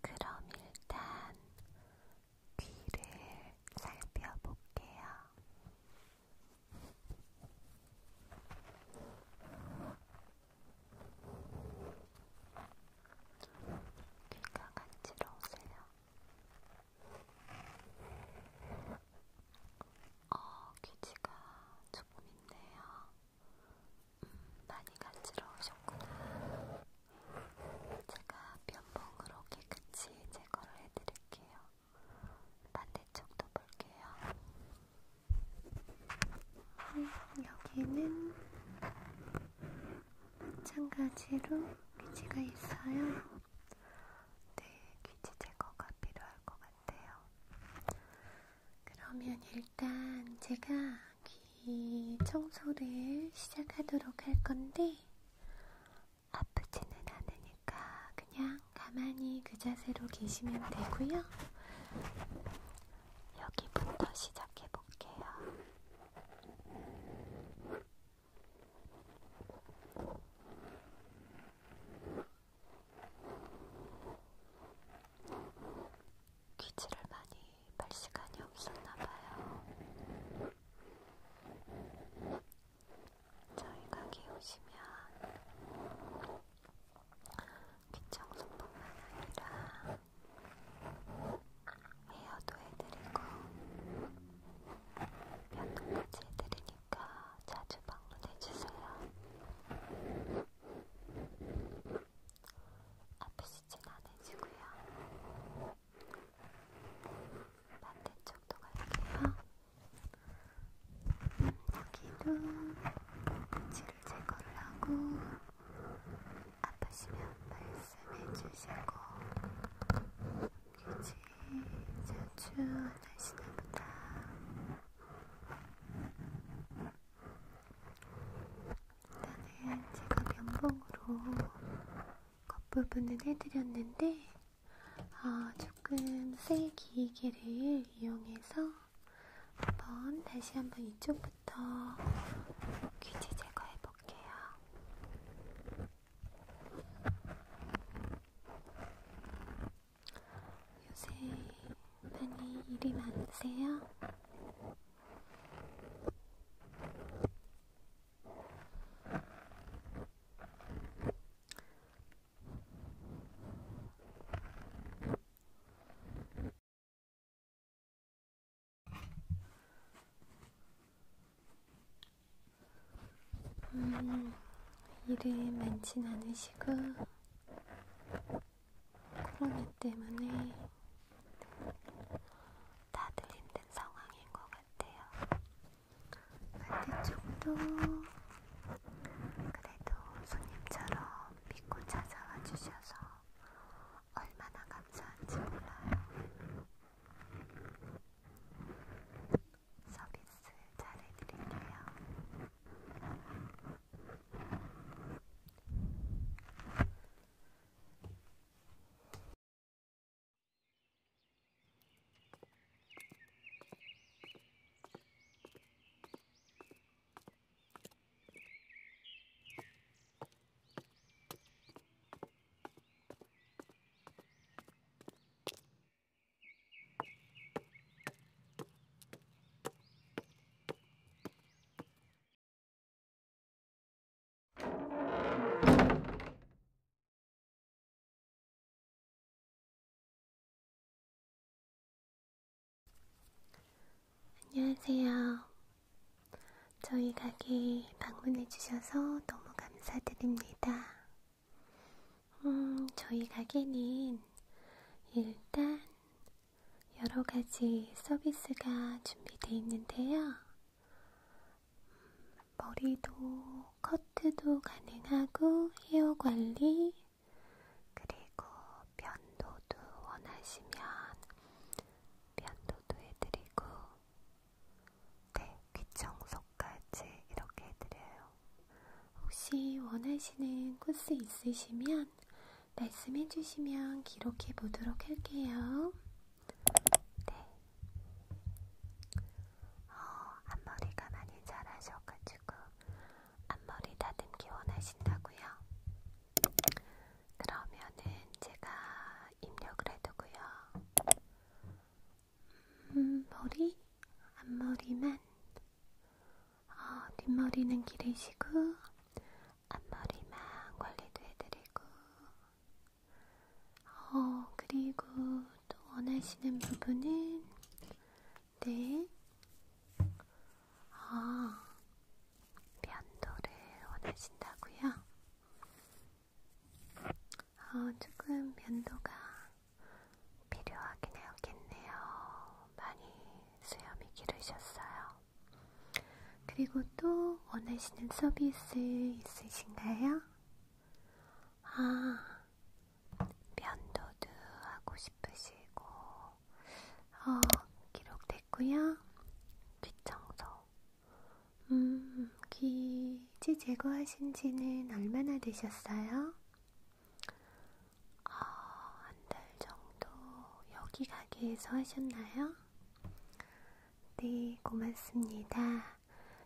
그럼 일단 귀를 살펴볼게요. 귀가 간지러우세요? 어, 귀지가 조금 있네요. 음, 많이 간지러우셨구나. 제가 면봉으로 깨끗이 제거를 해드릴게요. 반대쪽도 볼게요. 음, 여기는 마찬가지로 귀지가 있어요. 네, 귀지 제거가 필요할 것 같아요. 같아요. 그러면 일단 제가 귀 청소를 시작하도록 할 건데, 아프지는 않으니까 그냥 가만히 그 자세로 계시면 되고요. 여기부터 시작해 볼게요. 귀지를 많이 발 시간이 없었나봐요. 저희 가게 오시면 귀청소뿐만 아니라 헤어도 해드리고 면도까지 해드리니까 있으니까 그러니까 자주 방문해주세요. 아프시진 않으시고요. 반대쪽도 갈게요. 여기도 치를 제거를 하고 아프시면 말씀해주시고 그치 자주 안 하시나 보다 일단은 제가 면봉으로 겉부분은 해드렸는데 어, 조금 쇠 기기를 이용해서 한번 다시 한번 이쪽부터 귀지 제거해 볼게요. 자, 요새 많이 일이 많으세요? 음, 일이 많진 않으시고, 코로나 때문에 다들 힘든 상황인 것 같아요. 반대쪽도 그래도 손님처럼 믿고 찾아와 주셔서 얼마나 감사한지 몰라요. 서비스 잘해드릴게요. 안녕하세요. 저희 가게 방문해 주셔서 너무 감사드립니다. 음, 저희 가게는 일단 여러 가지 서비스가 준비되어 있는데요. 음, 머리도 커트도 가능하고 헤어 관리 그리고 면도도 원하시면 면도도 해드리고 네, 귀청소 몇 가지 이렇게 해드려요. 혹시 원하시는 코스 있으시면 말씀해 주시면 기록해 보도록 할게요. 네. 어, 앞머리가 많이 자라셔가지고 앞머리 다듬기 원하신다고요? 그러면은 제가 입력을 해두고요. 음, 머리, 앞머리만 어, 뒷머리는 기르시고 앞머리만 관리도 해드리고 어, 그리고 또 원하시는 부분은 네 아, 면도를 원하신다고요? 어, 조금 면도가 필요하긴 해야겠네요. 많이 수염이 기르셨어요. 그리고 또 원하시는 서비스 있으신가요? 아, 면도도 하고 싶으시고, 어, 기록됐고요. 귀청소. 음, 귀 이제 제거하신 지는 얼마나 되셨어요? 어, 한달 정도 여기 가게에서 하셨나요? 네, 고맙습니다.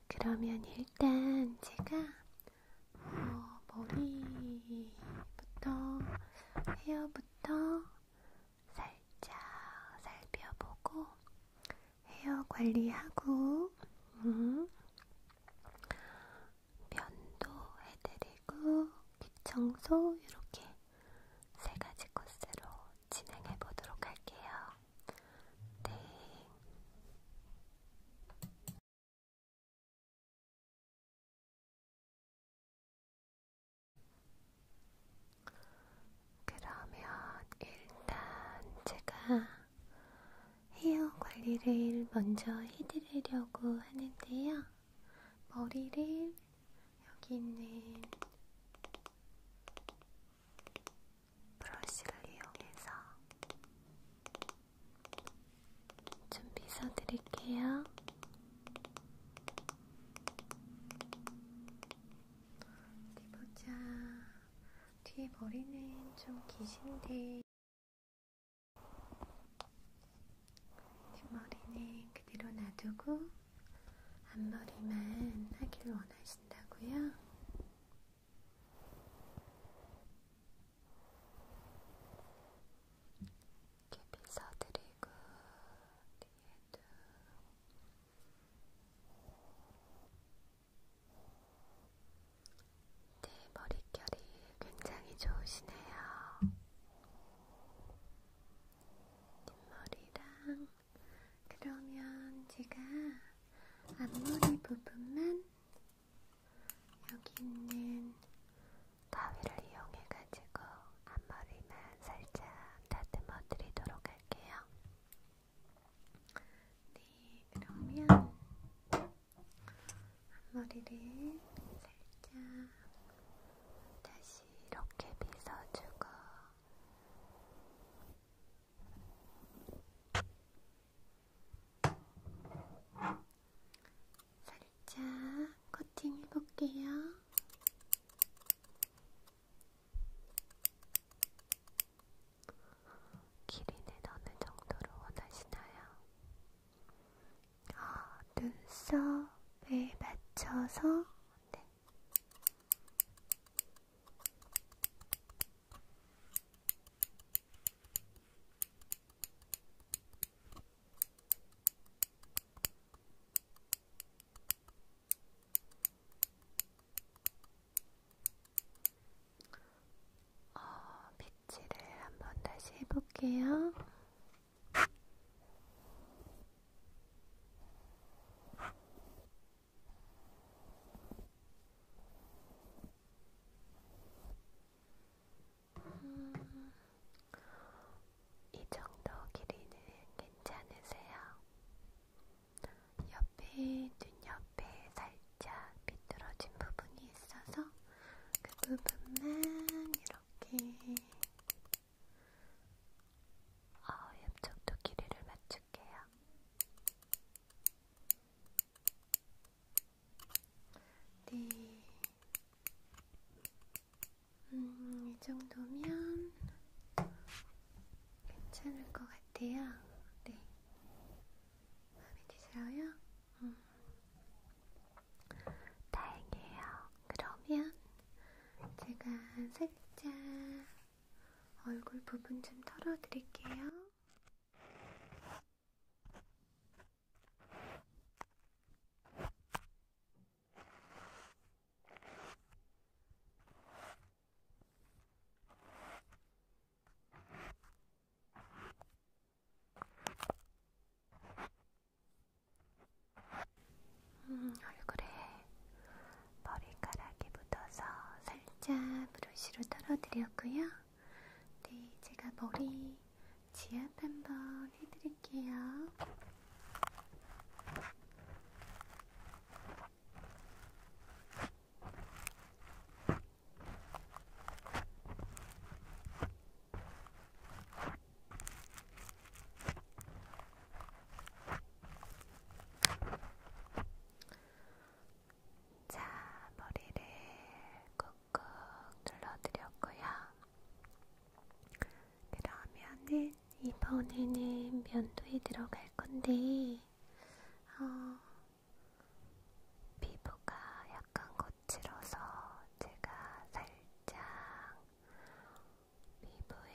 그러면 일단 제가 어, 머리부터 헤어부터 살짝 살펴보고 헤어 관리하고 음. 면도 해드리고 귀청소 이렇게 세 가지 코스로 진행해 보도록 할게요. 네. 그러면 일단 제가 헤어 관리를 먼저 해드리려고 하는데요. 머리를 여기 있는 브러쉬를 이용해서 좀 빗어드릴게요. 어디 보자. 뒤에 머리는 좀 기신데 뒷머리는 그대로 놔두고 앞머리만 하길 원하신다고요? 이렇게 빗어드리고 뒤에도 네, 머릿결이 굉장히 좋으시네요. 뒷머리랑 그러면 제가 앞머리 부분만 여기 있는 가위를 이용해가지고 앞머리만 살짝 다듬어 드리도록 할게요. 네, 그러면 앞머리를 살짝 다시 이렇게 빗어주고 살짝 코팅해볼게요. 길이는 어느 정도로 원하시나요? 아, 눈썹에 맞춰서 네. 어, 배치를 한번 다시 해볼게요. 음, 이 정도 길이는 괜찮으세요? 옆에 눈 옆에 살짝 비뚤어진 부분이 있어서 그 부분만 이렇게 어, 옆쪽도 길이를 맞출게요. 네. 음, 이 정도면 괜찮을 것 같아요. 네. 마음에 드세요? 음. 다행이에요. 그러면 제가 살짝 얼굴 부분 좀 털어드릴게요. 음, 음, 얼굴에 머리카락이 묻어서 살짝 브러쉬로 털어드렸고요. 네, 제가 머리 지압 한번 해드릴게요. 자, 머리를 꾹꾹 눌러드렸고요. 그러면은 이번에는 면도에 들어갈 건데, 어, 피부가 약간 거칠어서 제가 살짝 피부에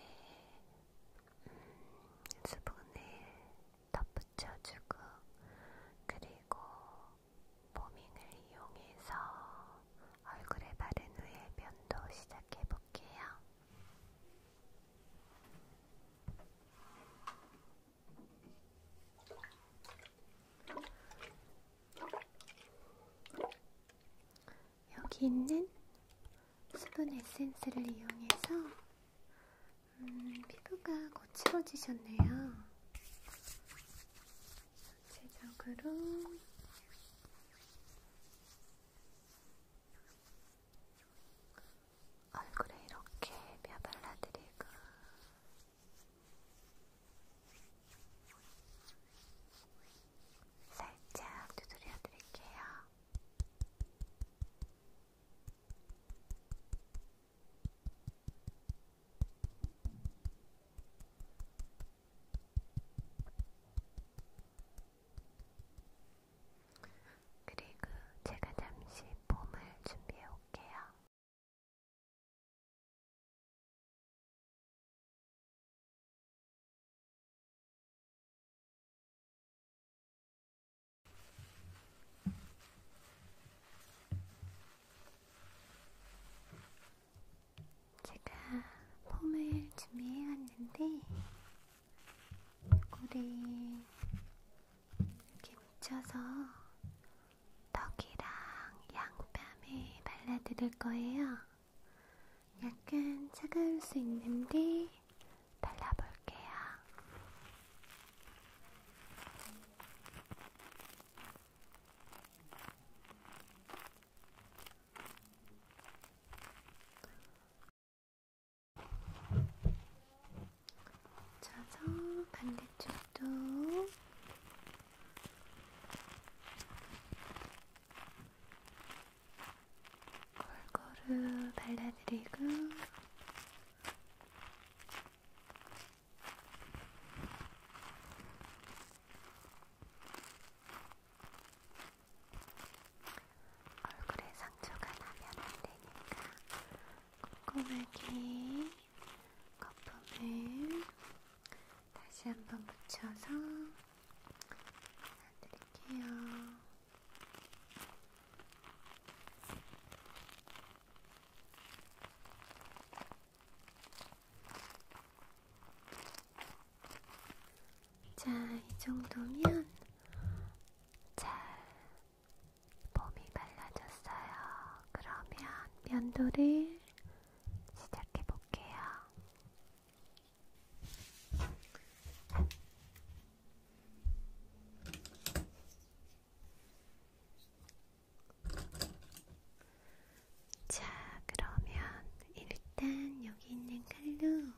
음, 수분을 덧붙여주고 그리고 포밍을 이용해서 얼굴에 바른 후에 면도 시작해볼게요. 여기 있는 수분 에센스를 이용해서 음, 피부가 거칠어지셨네요. 전체적으로 얼굴에 이렇게 뼈 발라드리고 살짝 두드려 드릴게요. 그리고 제가 잠시 폼을 준비해 올게요. 제가 폼을 준비해 왔는데 꼬리 이렇게 묻혀서 덕이랑 양뺨에 발라드릴 거예요. 약간 차가울 수 있는데 발라볼게요. 쳐서 반대쪽도 골고루 발라드리고 얼굴에 상처가 나면 안되니까 꼼꼼하게 거품을 다시 한번 묻혀서 발라드릴게요. 자, 이 정도면 잘 몸이 갈라졌어요. 그러면 면도를 시작해 볼게요. 자, 그러면 일단 여기 있는 칼로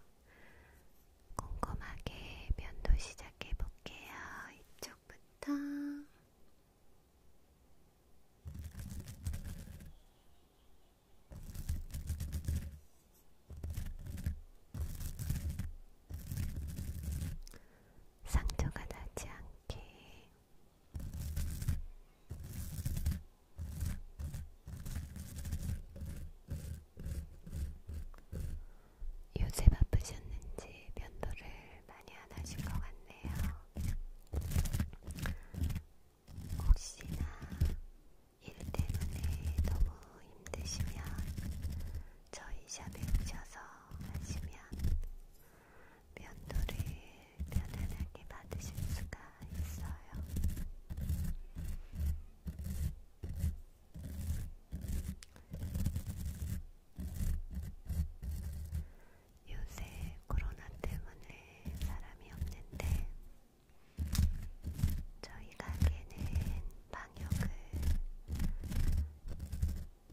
꼼꼼하게 면도 시작해 볼게요. 이쪽부터. 상처가 나지 않게 요새 바쁘셨는지 면도를 많이 안 하실 것 같네요. 혹시나 일 때문에 너무 힘드시면 저희 샵에 오셔서 하시면 면도를 편안하게 받으실 수가 있어요. 요새 코로나 때문에 사람이 없는데 저희 가게는 방역을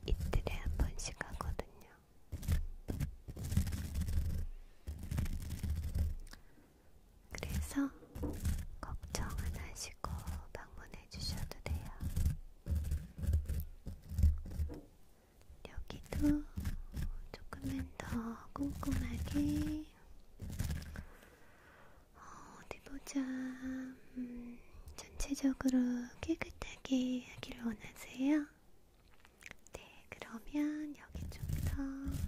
이틀에 한 번씩 하거든요. 그래서 걱정 안 하시고 방문해 주셔도 돼요. 여기도 조금만 더 꼼꼼하게 어, 어디 보자. 음, 전체적으로 깨끗하게 하기를 원하세요. 네, 그러면 여기 좀 더.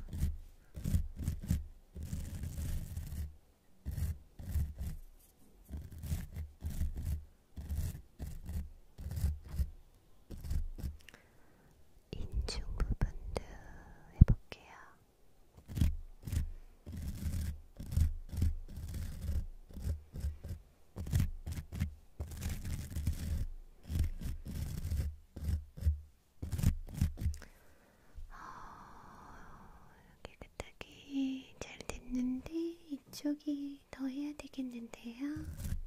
인중 부분도 해볼게요. 음. 어, 이렇게 끝하기 잘 됐는데 이쪽이 더 해야 되겠는데요.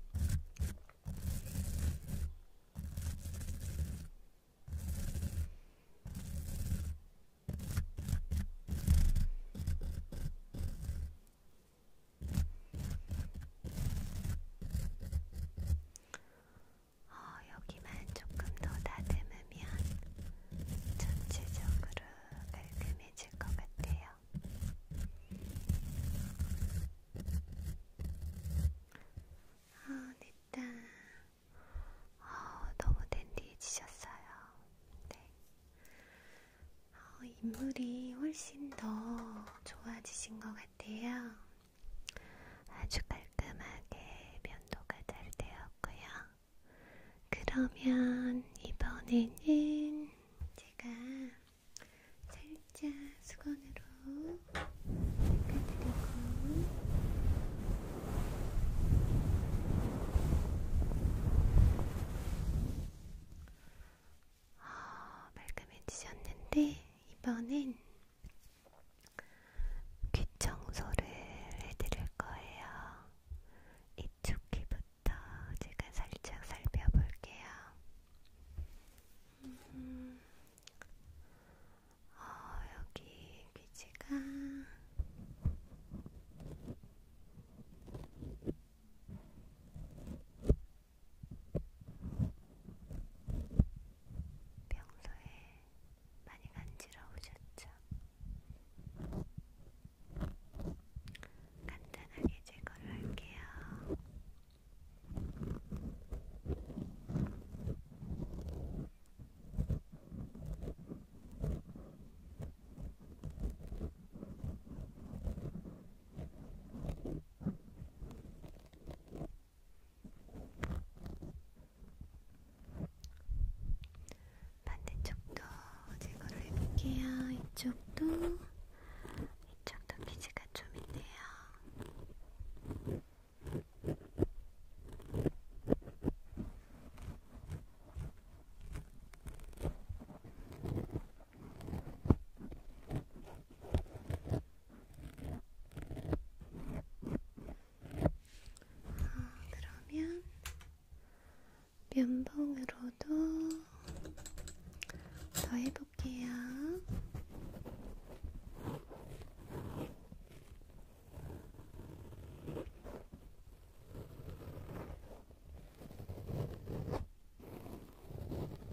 어, 여기만 조금 더 다듬으면 전체적으로 깔끔해질 것 같아요. 아, 됐다. 아, 너무 댄디해지셨어요. 네. 어, 인물이 훨씬 더 좋아지신 것 같아요. 아주 깔끔하게 면도가 잘 되었고요. 그러면 이번에는 제가 살짝 수건으로 닦아드리고 어, 말끔해지셨는데 이번엔 귀 청소를 해드릴 거예요. 이쪽 귀부터 제가 살짝 살펴볼게요. 음, 어, 여기 귀지가 평소에 많이 간지러우셨죠? 간단하게 제거를 할게요. 반대쪽도 제거를 해볼게요. 이쪽도 이쪽도 피지가 좀 있네요. 음, 어, 그러면 면봉으로도 더 해볼게요.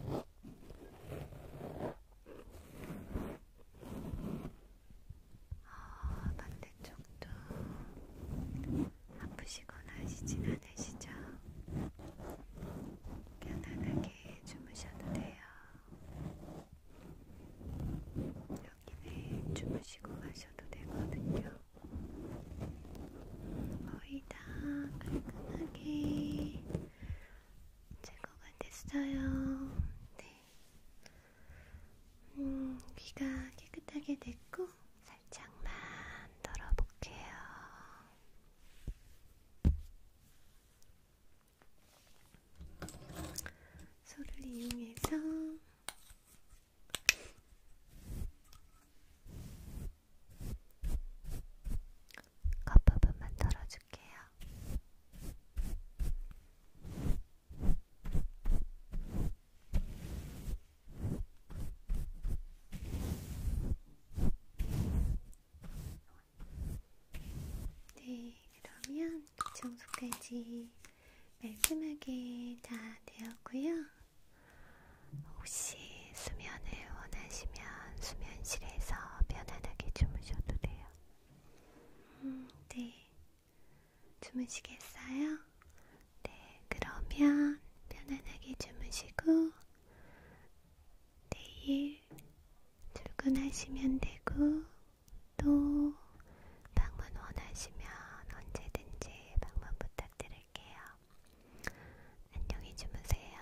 어, 어, 반대쪽도 아프시거나 하시진 않으시죠? 편안하게 주무셔도 돼요. 여기는 주무시고 가셔도 되거든요. 거의 다 깔끔하게 제거가 됐어요. 네. 음, 귀가 깨끗하게 됐고 살짝만 덜어볼게요. 소를 이용해서 겉부분만 덜어줄게요. 네, 그러면 이 정도까지 말끔하게 다 되었고요. 혹시 수면을 원하시면 수면실에서 편안하게 주무셔도 돼요. 음, 네. 주무시겠어요? 네, 그러면 편안하게 주무시고 내일 출근하시면 되고 또 방문 원하시면 언제든지 방문 부탁드릴게요. 안녕히 주무세요.